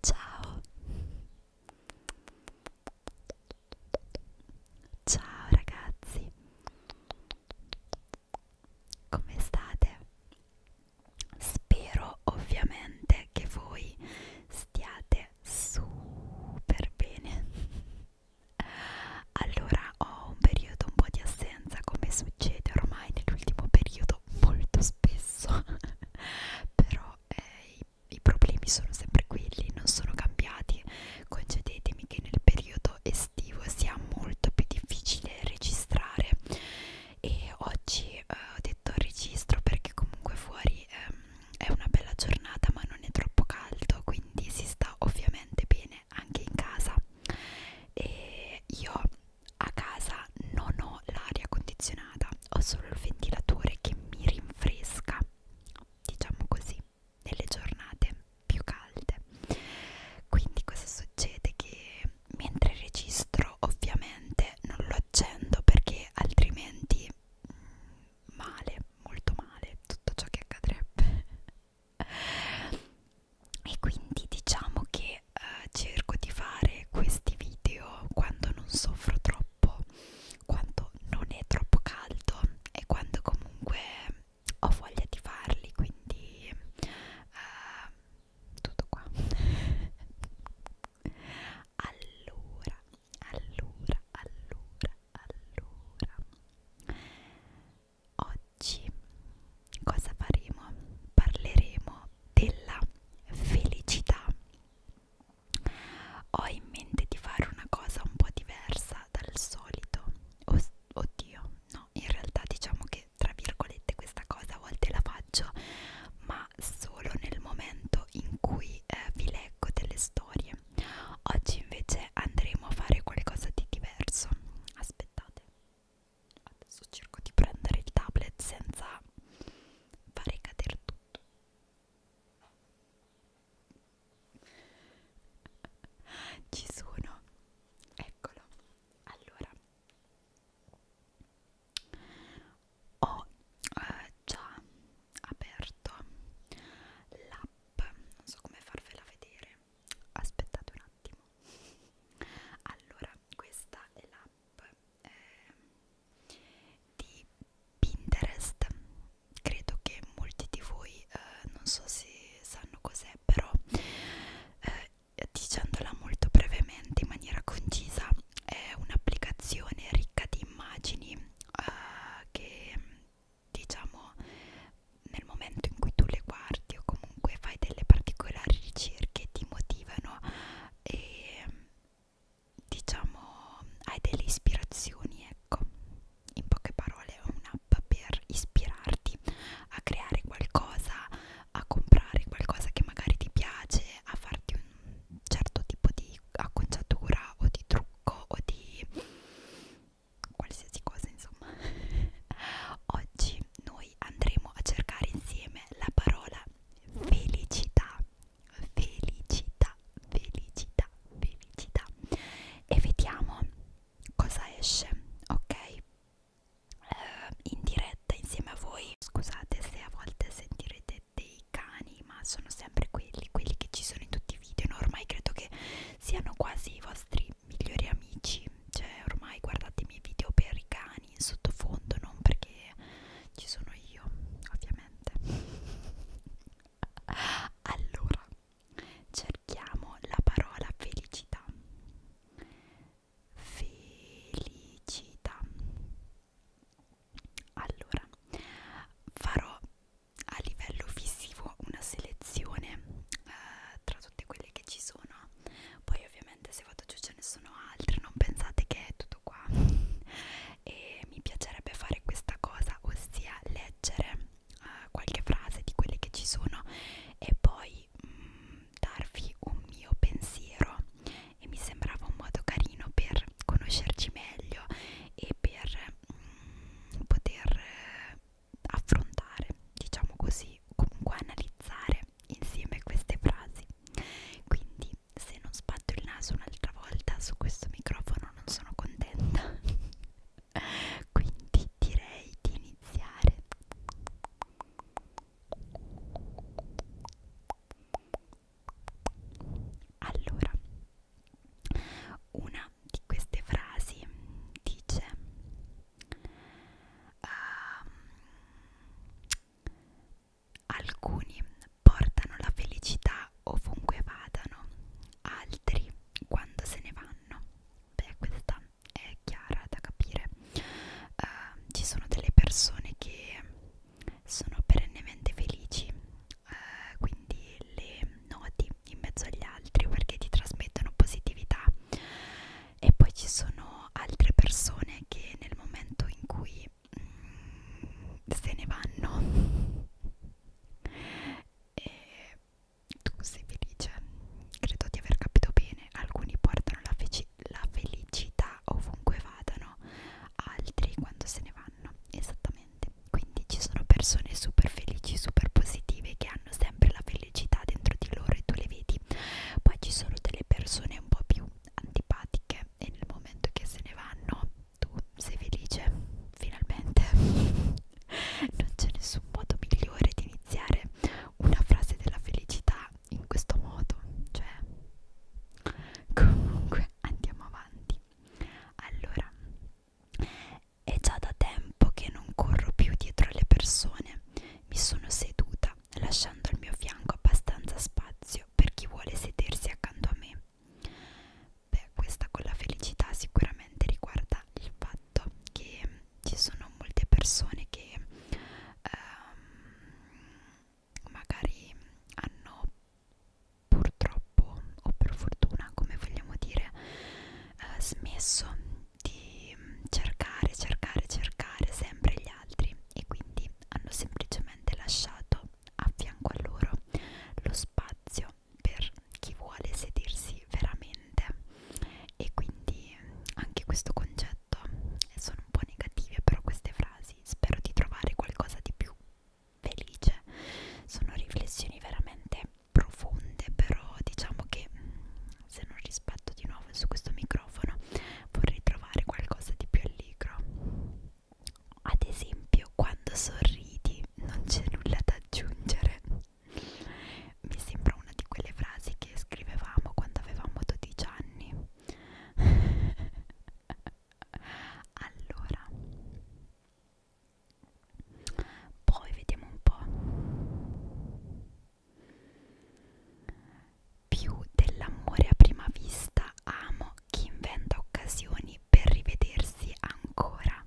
Ciao. Ciao ragazzi. Come state? Spero ovviamente che voi stiate super bene. Allora ho un periodo un po' di assenza come succede ormai nell'ultimo periodo molto spesso, però eh, i, i problemi sono sempre quelli, non sono cambiati. Concedetemi che nel periodo estivo sia molto più difficile registrare e oggi eh, ho detto registro perché comunque fuori ehm, è una bella giornata ma non è troppo caldo quindi si sta ovviamente bene anche in casa e io a casa non ho l'aria condizionata ho solo il ventilatore che mi rinfresca diciamo così nelle giornate più calde quindi cosa succede che mentre registro ovviamente non lo accendo perché altrimenti mm, male, molto male tutto ciò che accadrebbe e quindi diciamo che eh, cerco di fare questi video quando non soffro troppo quando non è troppo caldo e quando comunque ho voglia di farli quindi eh, tutto qua allora allora allora allora oggi cosa faremo parleremo della felicità ho in mente di fare una cosa un po' diversa dal solito Oddio, no, in realtà diciamo che tra virgolette questa cosa a volte la faccio ma solo nel momento in cui eh, vi leggo delle storie oggi invece andremo a fare qualcosa di diverso aspettate adesso cerco di prendere il tablet senza fare cadere tutto ci sono eccolo allora ho eh, già aperto l'app non so come farvela vedere aspettate un attimo allora questa è l'app eh, di Pinterest credo che molti di voi eh, non so se sanno cos'è però eh, dicendola molto brevemente in maniera concisa è un'applicazione ricca di immagini uh, che diciamo nel momento in cui tu le guardi o comunque fai delle particolari ricerche ti motivano e diciamo hai delle ispirazioni ecco in poche parole è un'app per ispirarti aiuti a creare qualcosa, a comprare qualcosa che magari ti piace, a farti un certo tipo di acconciatura o di trucco o di qualsiasi cosa insomma. Oggi noi andremo a cercare insieme la parola felicità, felicità, felicità, felicità e vediamo cosa esce, ok? eh, in diretta insieme a voi scusate se a volte sentirete dei cani ma sono sempre quelli quelli che ci sono in tutti i video no? ormai credo che siano quasi i vostri migliori amici cioè ormai guardate i miei video per i cani in sottofondo non perché ci sono io ovviamente allora cerchiamo la parola felicità felicità allora farò a livello visivo una selezione eh, tra tutte quelle che ci sono poi ovviamente se vado giù ce ne sono altre non pensate che è tutto qua e mi piacerebbe fare questa cosa ossia leggere eh, qualche frase di quelle che ci sono e poi di mm, darvi un mio pensiero e mi sembrava un modo carino per conoscerci meglio e per mm, poter eh, affrontare, diciamo così, comunque analizzare insieme queste frasi. Quindi se non sbatto il naso un'altra volta su questo microfono non sono contenta. Quindi direi di iniziare. Allora, una di queste frasi dice uh, alcuni portano la felicità ovunque vadano, altri quando se ne vanno. Beh, questa è chiara da capire uh, ci sono delle persone che sono perennemente felici uh, quindi le noti in mezzo agli altri perché ti trasmettono positività e poi ci sono altre persone che nel momento in cui mm, se ne vanno e tu sei felice credo di aver capito bene alcuni portano la, feci la felicità ovunque vadano, altri quando se ne vanno, esattamente. Quindi ci sono persone super felici, super positive che hanno sempre la felicità dentro di loro e tu le vedi. Poi ci sono delle persone un po' più antipatiche e nel momento che se ne vanno tu sei felice, finalmente. non c'è nessun modo migliore di iniziare una frase della felicità in questo modo cioè comunque andiamo avanti allora è già da tempo che non corro più dietro le persone mi sono seduta lasciando al mio fianco abbastanza spazio per chi vuole sedersi accanto a me beh questa con la felicità sicuramente riguarda il fatto che ci sono molte persone che ehm, magari hanno purtroppo o per fortuna come vogliamo dire eh, smesso di cercare cercare cercare sempre gli altri e quindi hanno semplicemente lasciato a fianco a loro lo spazio per chi vuole sedersi veramente e quindi mm, anche questo concetto eh, sono un po' negative però queste frasi spero di trovare qualcosa di più felice sono riflessioni veramente profonde però diciamo che mm, se non rispetto di nuovo su questo microfono vorrei trovare qualcosa di più allegro ad esempio quando sorridi non c'è nulla da aggiungere mi sembra una di quelle frasi che scrivevamo quando avevamo 12 anni allora poi vediamo un po' più dell'amore a prima vista amo chi inventa occasioni per rivedersi ancora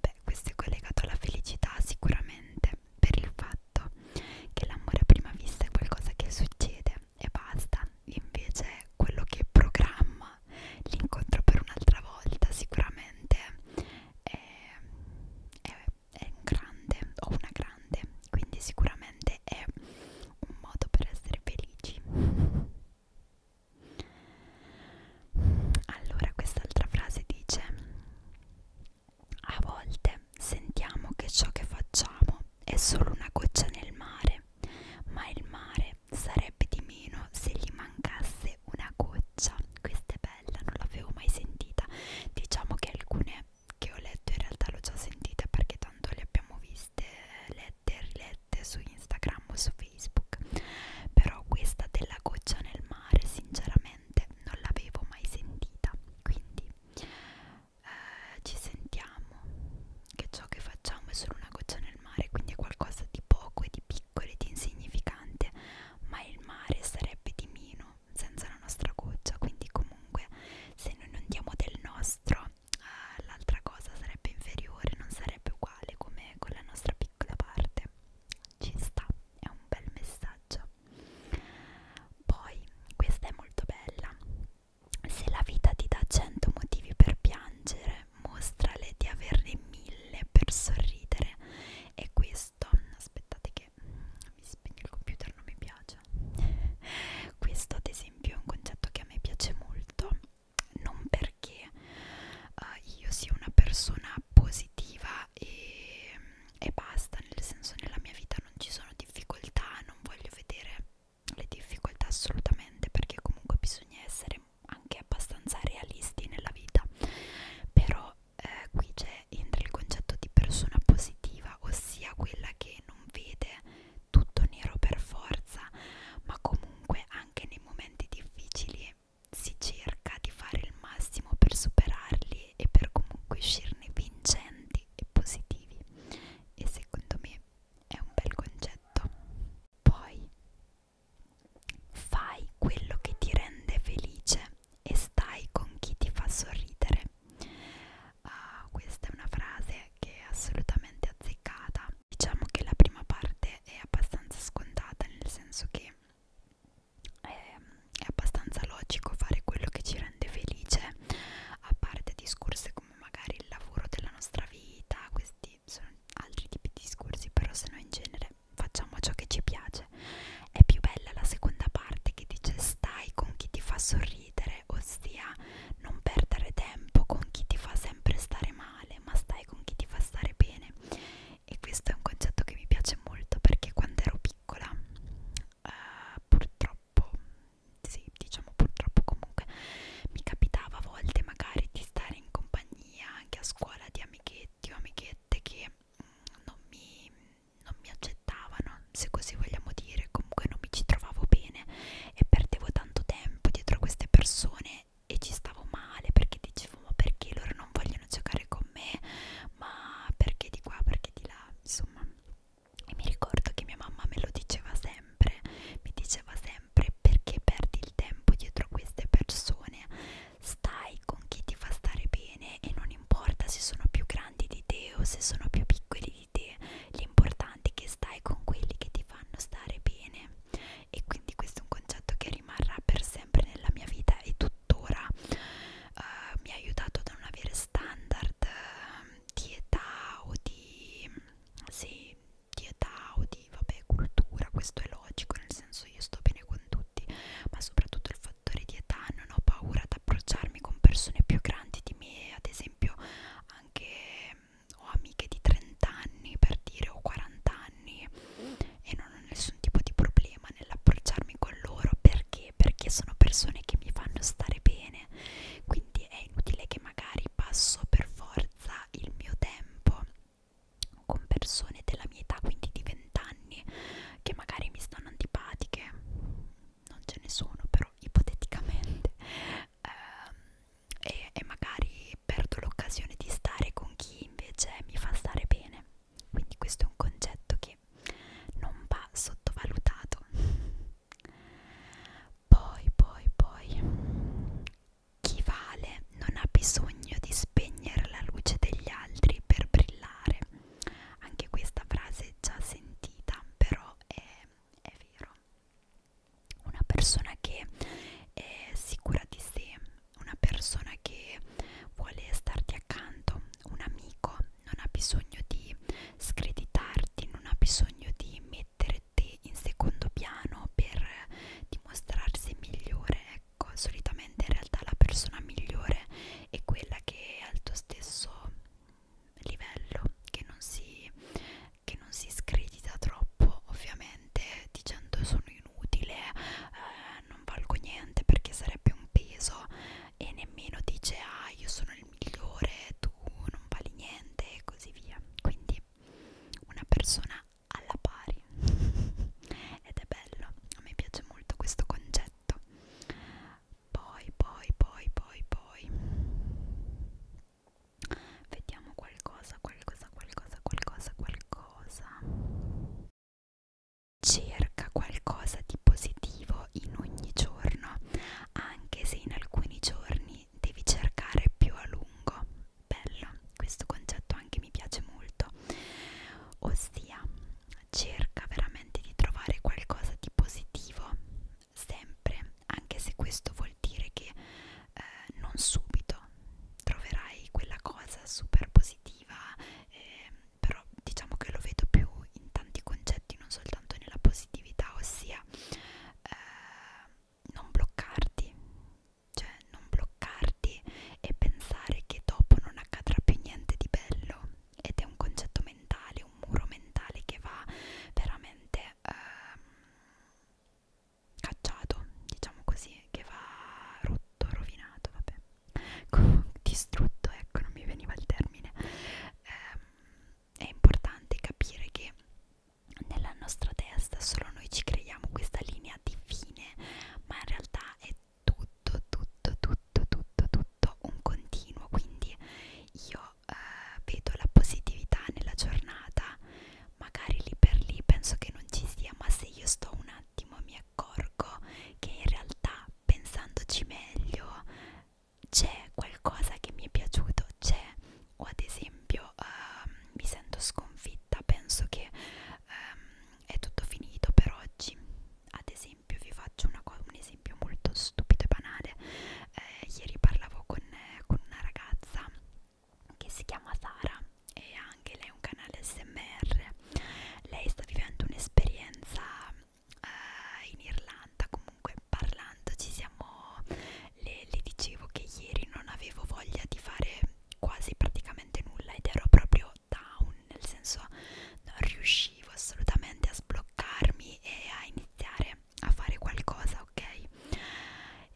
beh questo è collegato alla felicità sicuramente per il fatto fatto che l'amore a prima vista è qualcosa che succede e basta invece quello che programma l'incontro per un'altra volta sicuramente è, è, è un grande o una grande quindi sicuramente è un modo per essere felici allora quest'altra frase dice a volte sentiamo che ciò che facciamo è solo una goccia nel mare, ma il mare sarebbe di meno se gli mancasse una goccia. Questa è bella, non l'avevo mai sentita. Diciamo che alcune che ho letto in realtà l'ho già sentita perché tanto le abbiamo viste, lette e rilette su Instagram o su Facebook. Però questa della goccia nel mare sinceramente non l'avevo mai sentita. Quindi eh, ci sentiamo che ciò che facciamo è solo una goccia nel mare, quindi è qualcosa di poco e di piccolo e di insignificante, ma il mare sarebbe di meno senza la nostra goccia, quindi comunque se noi non diamo del nostro eh, l'altra cosa sarebbe inferiore, non sarebbe uguale come con la nostra piccola parte. Ci sta, è un bel messaggio. Poi, questa è molto bella. Se la vita ti dà cento motivi per piangere, mostrale di averne mille per sorridere. E questo, aspettate che mi spegne il computer, non mi piace. Questo ad esempio è un concetto che a me piace molto, non perché uh, io sia una persona positiva e e basta, nel senso nella mia vita non ci sono difficoltà, non voglio vedere le difficoltà assolutamente perché comunque bisogna essere anche abbastanza realisti nella vita, però eh, qui c'è entra il concetto di persona positiva, ossia quella che non vede tutto nero per forza, ma comunque anche nei momenti difficili si cerca di fare il massimo per superarli sfidati e per comunque uscirne vincenti e positivi e secondo me è un bel concetto poi fai quello che ti rende felice e stai con chi ti fa sorridere uh, questa è una frase che è assolutamente azzeccata diciamo che la prima parte è abbastanza scontata nel senso che è, ehm, è abbastanza logico fare quello che ci rende felice a parte discorsi come magari il lavoro della nostra vita questi sono altri tipi di discorsi però se noi in genere facciamo ciò che ci piace è più bella la seconda parte che dice stai con chi ti fa sorridere ossia non perdere tempo con chi ti fa sempre stare male ma stai con chi ti fa stare bene e questo è un concetto che mi piace molto perché quando ero piccola piccola uh, purtroppo sì diciamo purtroppo comunque mi capitava a volte magari di stare in compagnia anche a scuola di amichetti o amichette che mh, mm, non, mi, non mi accettavano se così vogliamo dire comunque non mi ci trovavo bene e perdevo tanto tempo dietro a queste persone e ci stavo male perché dicevo ma perché loro non vogliono giocare con me ma perché di qua perché di là insomma e mi ricordo che mia mamma me lo diceva sempre, mi diceva sempre perché perdi il tempo dietro a queste persone, stai con chi ti fa stare bene e non importa se sono più grandi di te o se sono più piccoli di te, l'importante è che stai con quelli che ti fanno stare bene e quindi questo è un concetto che rimarrà per sempre nella mia vita e tuttora uh, mi ha aiutato a non avere standard ehm, di età o di, sì, di età o di vabbè, cultura, questo è logico, nel senso io sto bene con tutti, ma soprattutto il fattore di età, non ho paura ad approcciarmi con persone più grandi di me, ad esempio anche ehm, ho amiche di 30 anni per dire o 40 anni e non ho nessun tipo di problema nell'approcciarmi con loro perché perché? Perché sono persone che mi fanno stare bene, quindi è inutile che magari passo per forza il mio tempo con persone della mia età, quindi di 20 anni, che magari mi stanno antipatiche, non ce ne sono però ipoteticamente, ehm, e, e magari perdo l'occasione di stare con chi invece mi fa stare bene. Quindi questo è un concetto che non va sottovalutato. Poi, poi, poi, chi vale non ha bisogno di spegnere la luce degli altri per brillare. Anche questa frase è già sentita, però è, è vero. Una persona che è sicura di sé, una persona che vuole starti accanto un amico non ha bisogno di screditarti non ha bisogno di mettere te in secondo piano per dimostrarsi migliore ecco solitamente in realtà la persona migliore è quella che è al tuo stesso livello che non si che non si scredita troppo ovviamente dicendo sono inutile eh, non valgo niente perché sarebbe un peso e nemmeno dice ah io sono il migliore, tu non vali niente e così via. Quindi una persona alla pari ed è bello, a me piace molto questo concetto. Poi, poi, poi, poi, poi vediamo qualcosa, qualcosa, qualcosa, qualcosa, qualcosa. Cerca qualcosa di positivo in ogni giorno, anche se in alcuni giorni devi cercare più a lungo. Bello, questo concetto anche mi piace molto. Ossia, cerca veramente di trovare qualcosa di positivo sempre, anche se questo vuol dire che eh, non subito troverai quella cosa super positiva. Eh, però diciamo che lo vedo più in tanti concetti, non soltanto nella positività, ossia eh, non bloccarti, cioè non bloccarti e pensare che dopo non accadrà più niente di bello ed è un concetto mentale, un muro mentale che va veramente eh, cacciato, diciamo così, che va rotto, rovinato, vabbè distrutto, ecco, non mi veniva il termine. Eh, è importante capire che nella nostra testa solo noi ci creiamo questa linea di fine, ma in realtà è tutto, tutto, tutto, tutto, tutto un continuo. Quindi io eh, vedo la positività nella giornata, magari lì per lì penso che non ci sia, ma se io sto un attimo a mi accorgo che in realtà pensandoci meglio c'è qualcosa che mi è piaciuto, c'è o ad esempio uh, mi sento sconfitta, penso che um, è tutto finito per oggi. Ad esempio vi faccio una un esempio molto stupido e banale. Eh, ieri parlavo con, eh, con una ragazza che si chiama Sara e anche lei ha un canale SMR. Lei sta vivendo un'esperienza eh, in Irlanda comunque parlando ci siamo le, le dicevo che ieri non avevo voglia di fare quasi praticamente nulla ed ero proprio down nel senso non riuscivo assolutamente a sbloccarmi e a iniziare a fare qualcosa ok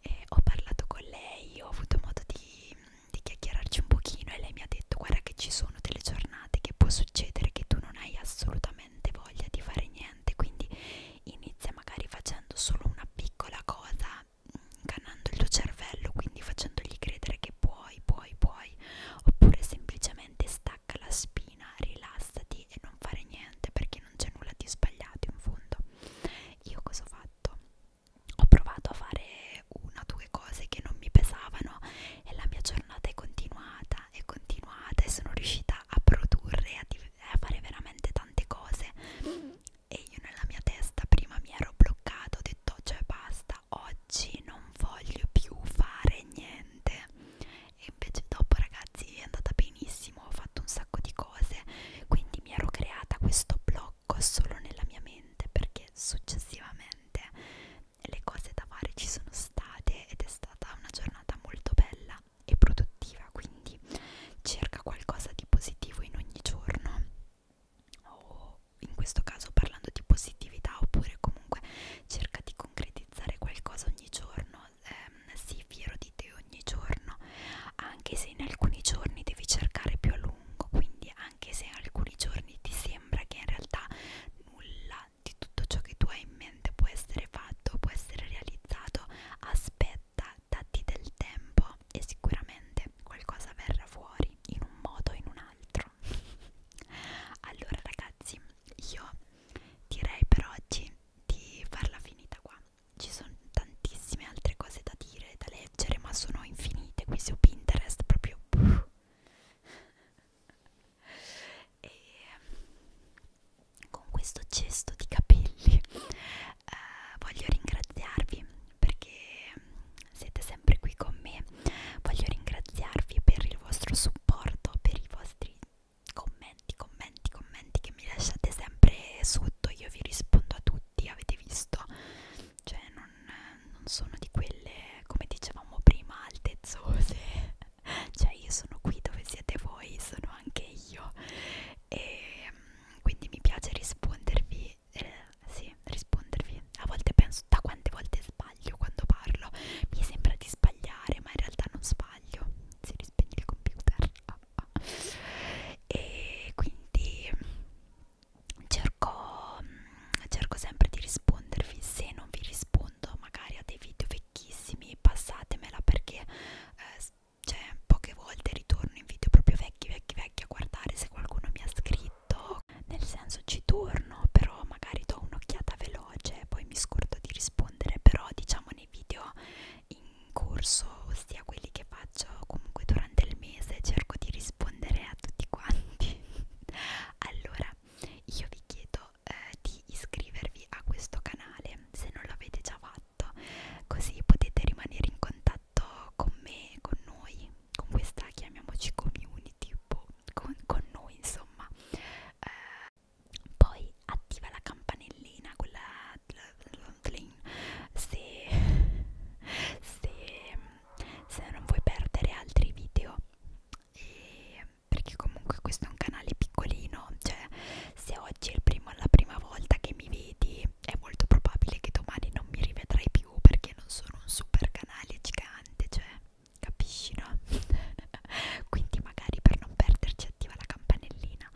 e ho parlato con lei ho avuto modo di, di chiacchierarci un pochino e lei mi ha detto guarda che ci sono delle giornate giornate che può succedere che tu non hai assolutamente voglia di fare niente quindi inizia magari facendo solo una piccola cosa ingannando il tuo cervello quindi facendogli credere che puoi puoi puoi oppure semplicemente stacca la spina rilassati e non fare niente perché non c'è nulla di sbagliato in fondo io cosa ho fatto ho provato a fare una o due cose che non mi pesavano e la mia giornata è continuata, è continuata e sono riuscita a produrre, a, a fare veramente tante cose e io nella mia testa prima mi ero bloccato, ho detto cioè basta, oggi non voglio più fare niente e invece dopo ragazzi è andata benissimo, ho fatto un sacco di cose, quindi mi ero creata questo blocco solo nella mia mente perché successivamente le cose da fare ci sono state ed è stata una giornata molto bella e produttiva, quindi cerca qualcosa di positivo in ogni giorno o in questo caso parlando di positività oppure comunque cerca di concretizzare qualcosa ogni giorno, ehm, sii fiero di te ogni giorno, anche se in alcuni giorni devi cercare più a lungo, quindi anche se in alcuni giorni ti sembra che in realtà nulla avanti, tutto ciò che tu hai in mente può essere fatto, può essere realizzato, aspetta, datti del tempo e sicuramente qualcosa verrà fuori in un modo o in un altro. allora ragazzi, io direi per oggi di farla finita qua. Ci sono tantissime altre cose da dire, da leggere, ma sono infinite qui su Pinterest proprio e ehm, con questo cesto di capelli eh, voglio ringraziarvi perché ehm, siete sempre qui con me voglio ringraziarvi per il vostro supporto per i vostri commenti commenti commenti che mi lasciate sempre sotto io vi rispondo a tutti avete visto cioè non, non sono di quelle, come dicevamo prima, altezzose cioè io sono qui dove siete voi, sono anche io e ehm, quindi mi piace rispondervi eh, sì, rispondervi a volte penso da quante volte sbaglio quando parlo mi sembra di sbagliare ma in realtà non sbaglio si rispegne il computer ah, ah. e quindi cerco, cerco sempre di rispondervi se non vi rispondo rispondo magari a dei video vecchissimi passatemela perché eh, cioè, poche volte ritorno in video proprio vecchi vecchi vecchi a guardare se qualcuno mi ha scritto nel senso ci torno però magari do un'occhiata veloce poi mi scordo di rispondere però diciamo nei video in corso ossia quelli che faccio comunque durante il mese cerco di rispondere a tutti quanti allora io vi chiedo eh, di iscrivervi a questo canale se non l'avete già fatto, così potete rimanere in contatto con me, con noi, con questa chiamiamoci community, boh, con, con noi insomma. Eh, poi attiva la campanellina con la se, se, se non vuoi perdere altri video e perché comunque questo è un canale piccolino cioè se oggi è il primo, la prima volta che mi vedi è molto probabile che domani non mi rivedrai più perché non sono un super canale gigante cioè capisci no? quindi magari per non perderci attiva la campanellina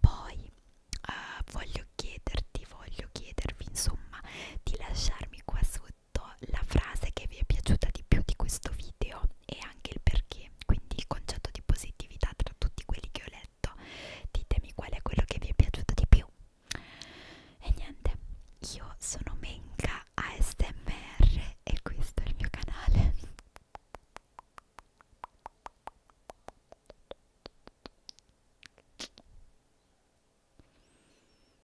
poi uh, voglio chiederti voglio chiedervi insomma di lasciarmi qua sotto detto la frase che vi è piaciuta di più di questo video e anche il perché, quindi il concetto di positività tra tutti quelli che ho letto. Ditemi qual è quello che vi è piaciuto di più. E niente, io sono Menka ASMR e questo è il mio canale.